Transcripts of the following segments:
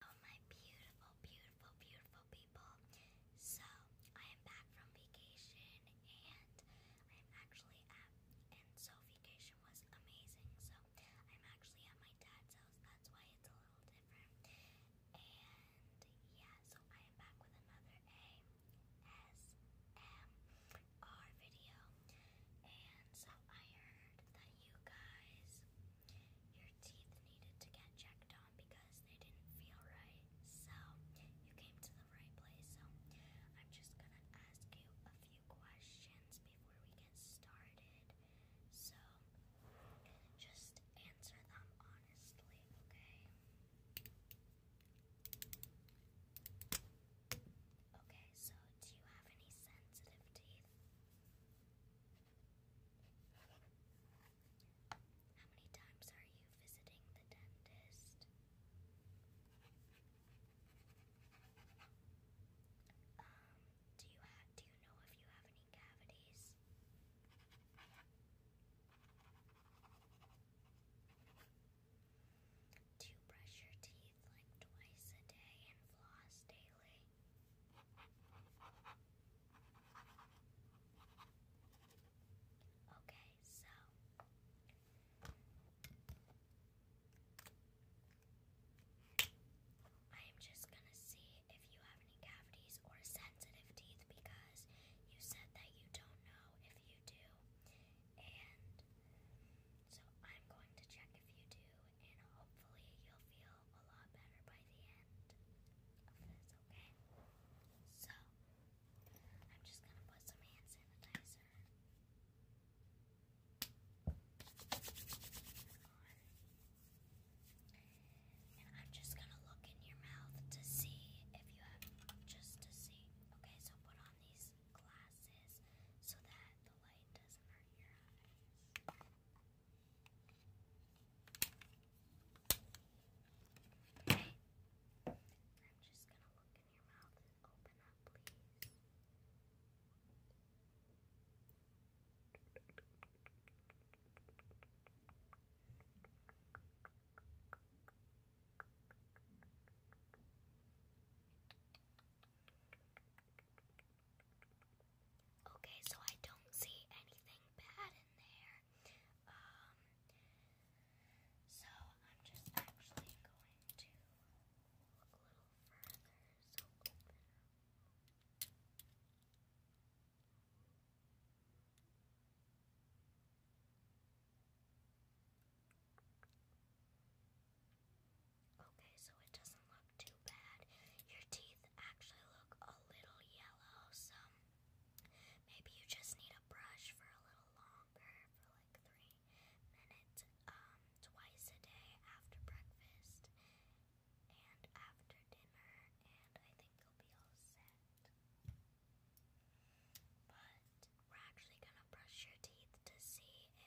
Hello, oh, my beautiful, beautiful, beautiful people. So, I am back from vacation, and I am actually at, and so vacation was amazing. So, I'm actually at my dad's house, that's why it's a little different. And yeah, so I am back with another ASMR video. And so, I heard that you guys your teeth needed to get checked on because they didn't feel right. So, you came to the right place. So, I'm just going to ask you a few questions before we get started. So, just answer them honestly, okay? Okay, so do you have any sensitive teeth? How many times are you visiting the dentist? Um, do you do you know if you have any cavities? Do you brush your teeth like twice a day and floss daily? away. Okay, so I am just going to see if you have any cavities or sensitive teeth because you said that you don't know if you do. And so I'm going to check if you do and hopefully you'll feel feel a lot better by the end okay? So, I'm just gonna put some hand sanitizer And I'm just gonna look in your mouth to see if you have just to see. Okay, so put on these glasses so that the light doesn't hurt your eyes. I'm just going to look in your mouth and open up, please. Okay, so I don't see anything bad in there. Um, so I'm just actually going to look a little further. So open up. Okay, Okay, so it doesn't look too bad. Your teeth actually look a little yellow, so maybe you just need a brush for a little longer, for like three minutes, um, twice a day after breakfast and after dinner, and I think you'll be all set. But we're actually gonna brush your teeth to see if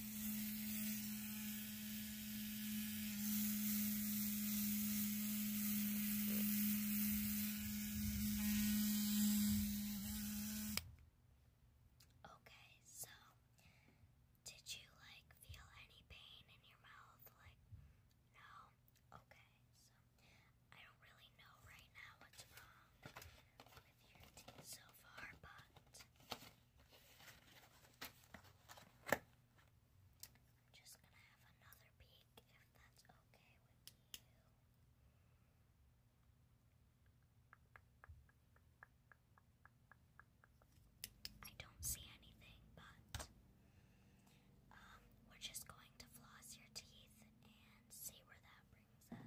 Okay, so did you like feel any pain in your mouth? Like, no? Okay, so I don't really know right now what's wrong with so far, but I'm just gonna have another peek if that's okay with you. I don't see anything, but um, we're just going to floss your teeth and see where that brings us, okay.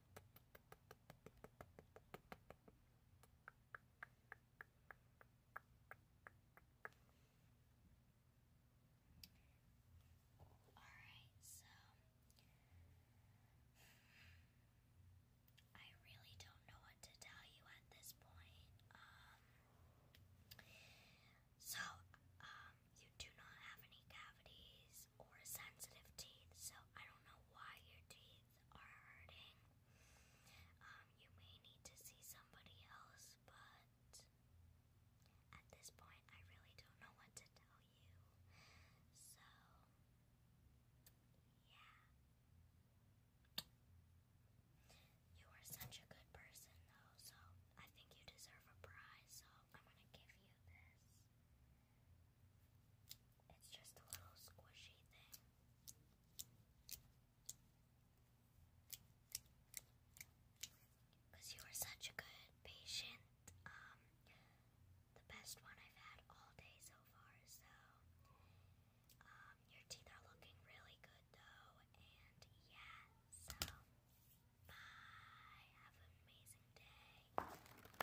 Alright, so I really don't know what to tell you at this point. Um, so, um, you do not have any cavities or sensitive teeth, so I don't know why your teeth are hurting, um, you may need to see somebody else, but at this point, I really don't know what to tell you. So, yeah. You are such a good person, though, so I think you deserve a prize, so I'm gonna give you this. It's just a little squishy thing. Because you were such a good patient. Um, the best one I've had all day so far. So, um, your teeth are looking really good though. And yeah, so bye. Have an amazing day.